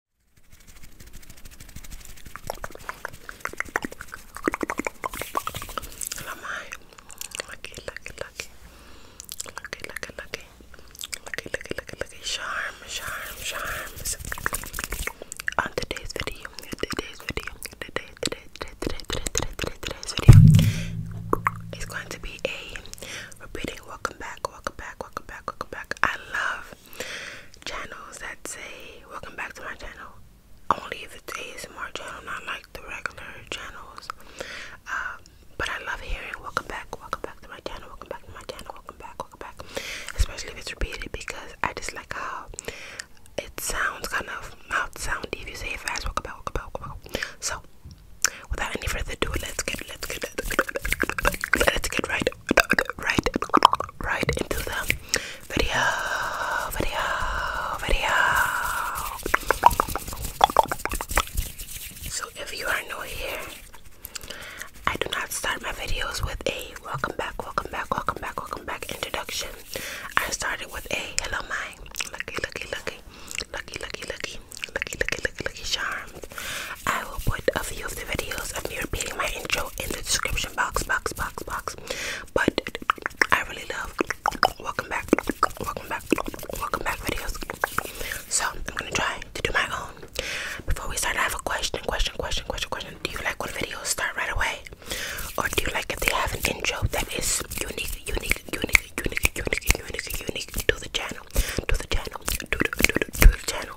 I lucky, lucky, lucky, lucky, lucky, lucky, lucky, lucky, lucky, lucky, charm, charm, On today's video, today's video, today, today, today, today, today, today, today's video is going to be a repeating welcome back, welcome back, welcome back, welcome back. I love have channels that say welcome back to my channel only if it's ASMR channel, not like the regular channels. Uh, but I love hearing welcome back, welcome back to my channel, welcome back to my channel, welcome back, welcome back. Especially if it's repeated because I just like how it sounds kind of mouth soundy if you say it fast, welcome back, welcome back, welcome back. So without any further ado, let's get let's get let's get right right, right into the video, video, video. So if you are new here, I do not start my videos with a welcome back, welcome back, welcome back, welcome back introduction. I started with a hello my lucky, lucky, lucky, lucky, lucky, lucky, lucky, lucky, lucky, lucky charm. I will put a few of the videos of me repeating my intro in the description box, box, box, box. But I really love welcome back, welcome back, welcome back videos. So I'm gonna try to do my own. Before we start, I have a question, question, question, question, question. Do you like when videos start right away? Or do you like if they have an intro that is unique, unique, unique, unique, unique, unique, unique to the channel, to the channel, to the, to to the channel?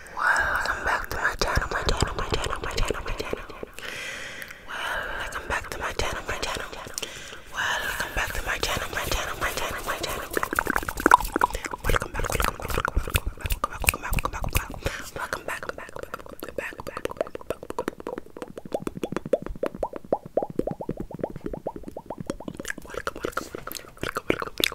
welcome back to my channel, my channel, my channel, my channel, my channel. Welcome back to my channel, my channel. Welcome back to my channel, my channel, my channel, my channel. Welcome back, welcome back, welcome back, welcome back, welcome back, welcome back, welcome back, welcome back, welcome back, back, back, back, back. Welcome, welcome, welcome, welcome, welcome,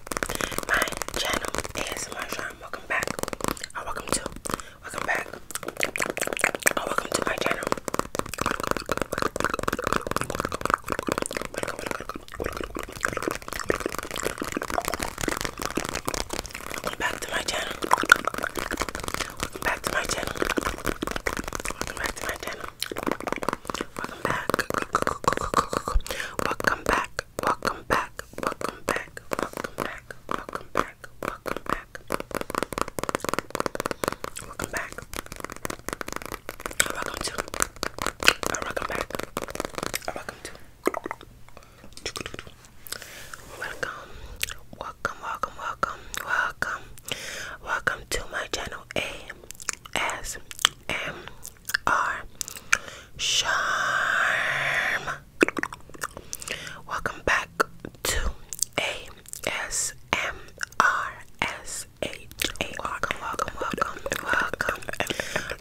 my channel ASMR Sean. Welcome back. Oh, welcome to. Welcome back. Oh, welcome to my channel. Welcome back to my channel. Welcome back to my channel. Welcome back. Welcome back back, welcome back, welcome back, welcome back, welcome back, welcome back, welcome back, welcome to, welcome back, welcome to, welcome, welcome, welcome, welcome, welcome, welcome to my channel A S M are Charm. Welcome back to ASMR Welcome, welcome, welcome, welcome,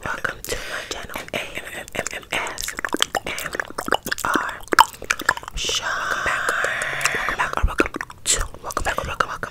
welcome to my channel ASMR. Charm. Welcome welcome welcome, welcome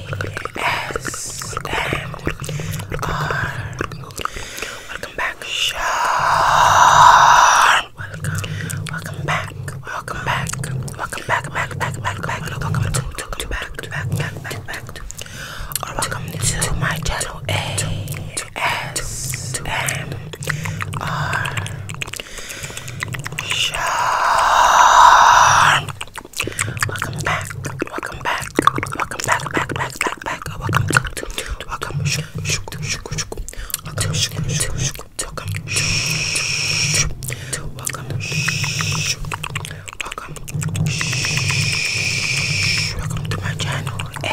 Welcome back. Sharp. Welcome. Welcome back. Welcome back. Welcome back. Back. Back. Back. Back. Welcome to to back. Back. Back. Back. Back. Or welcome to my channel. A to S to M R. Sharp. Welcome back. Welcome back. Welcome back. Back. Back. Back. Back. Welcome to. Welcome. Welcome. Welcome. Welcome to my channel. A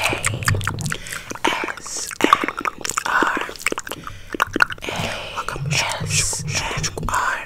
S M R. Welcome. S M R.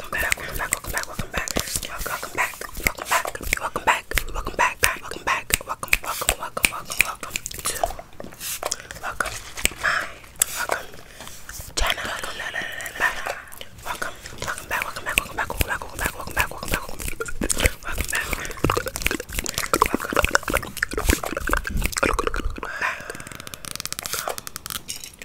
welcome back, welcome back, welcome back, welcome back, welcome back, welcome back, welcome back, welcome back, welcome back, welcome, welcome, welcome, welcome, welcome to welcome my welcome channel. Welcome, welcome, welcome back, welcome back, welcome back, welcome back, welcome back, welcome back, welcome back, welcome back, welcome back, welcome back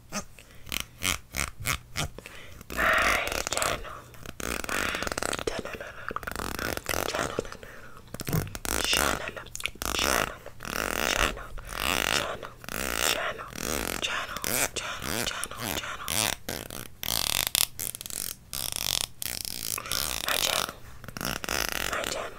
channel, my channel,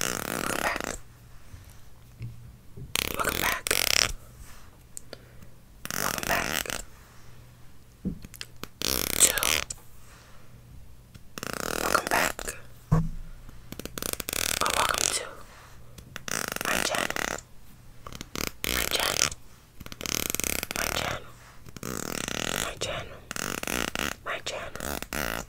Welcome back. Welcome back. Welcome back. Or oh, welcome to my channel. My channel. My channel. My channel. My channel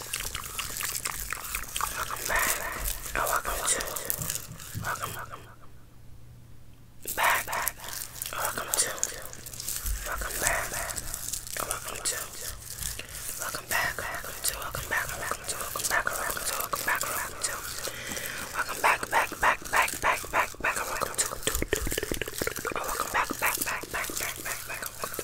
Welcome back. Oh, welcome, to. Welcome, welcome, welcome. Back, back. Oh, welcome to. Welcome back. Oh, welcome to. Welcome back. Welcome to. Welcome back. Welcome to. Welcome back. Welcome to. Welcome back. Welcome to. Welcome back. Back, back, back, back, back, back. Welcome to. Welcome back. Back, back, back, back, back, back.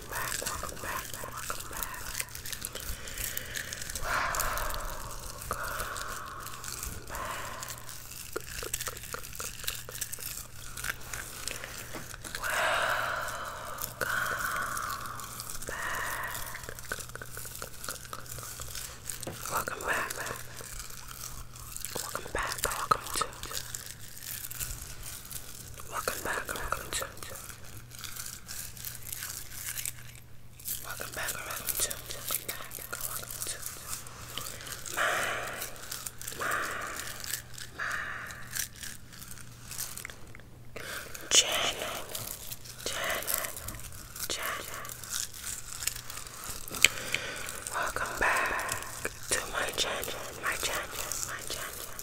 welcome back, welcome back, welcome back. Welcome back. Welcome back. Welcome back, Welcome back, welcome back, Welcome back, welcome to, my, my, my channel, channel, channel. Welcome back to my channel, my channel, my channel.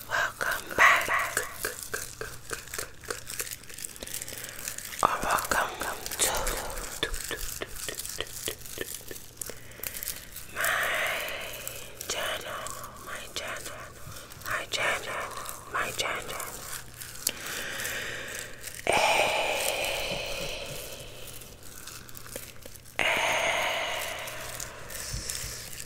Welcome back. Or welcome to my channel, my channel, my channel, my channel. Hey. S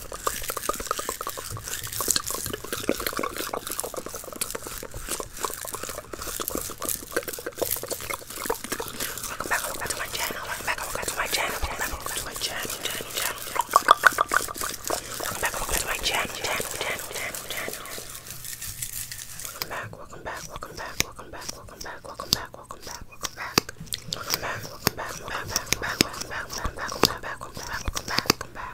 Welcome back, welcome back to my channel. Welcome back, welcome back to my channel. Welcome back, welcome back to my channel. Channel, channel, channel. Welcome back, welcome back to my channel. Channel, channel, channel, channel. Welcome back, welcome back, welcome back, welcome back, welcome back, welcome back, welcome back, welcome back. Welcome back, welcome back, welcome back, welcome back, welcome back, welcome back, welcome back, welcome back, welcome back, welcome back, welcome back.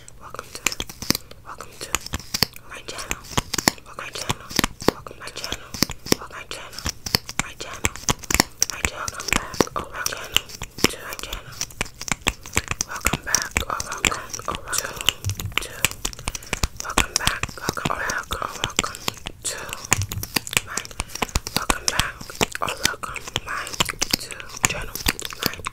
Welcome to, welcome to my channel. Welcome my channel. Welcome my channel. Welcome my channel. My channel. My channel. Welcome back. Oh, my To my channel. Welcome back. Oh, welcome. Oh, welcome. To. Welcome back. Oh, welcome. To. Welcome back. Oh, welcome. My. To. Channel.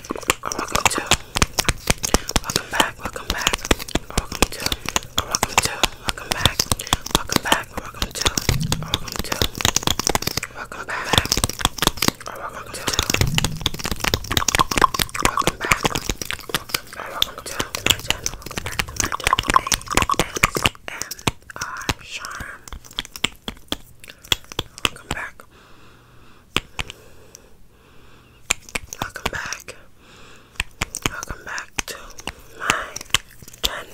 welcome to, welcome back, welcome back, welcome to, welcome to, welcome back, welcome back, welcome to, welcome to, welcome back, welcome back, welcome to my channel, welcome back my channel, ASMR Charm. Welcome back. Welcome back. Welcome back to my channel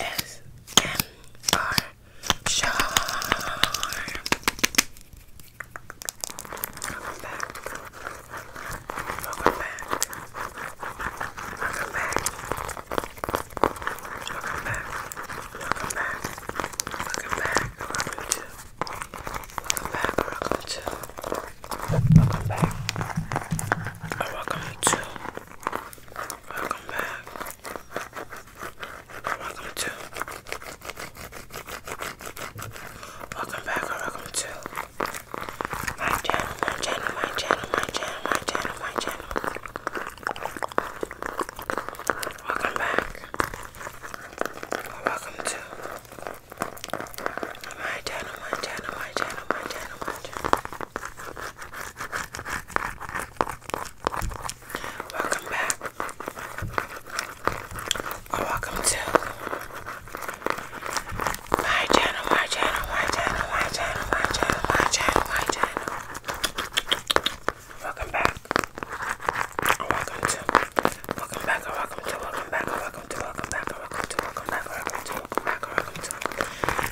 S M R sharp. Welcome back. Welcome back. Welcome back. Welcome back. Welcome back. Welcome to. Welcome back. Welcome to. Welcome back. Welcome to. Welcome back. Welcome to. Welcome back or welcome to my channel, my channel, my channel, my channel, my channel, my channel. Welcome back. Or welcome to my channel, my channel, my my channel, my channel, my channel. Welcome back. Or welcome to my channel, my channel, my channel, my channel, my channel, my channel, my channel. Welcome back. Or welcome to welcome back or welcome to welcome back or welcome to welcome back or welcome to welcome back or welcome to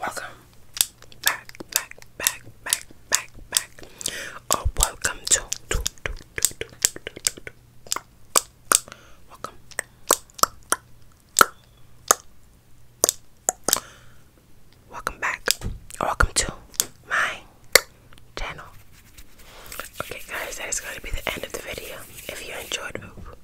Welcome back, back, back, back, back, back. Or oh, welcome to, to, to, to, to, to, to. Welcome. Welcome back. Welcome to my channel. Okay guys, that is going to be the end of the video. If you enjoyed,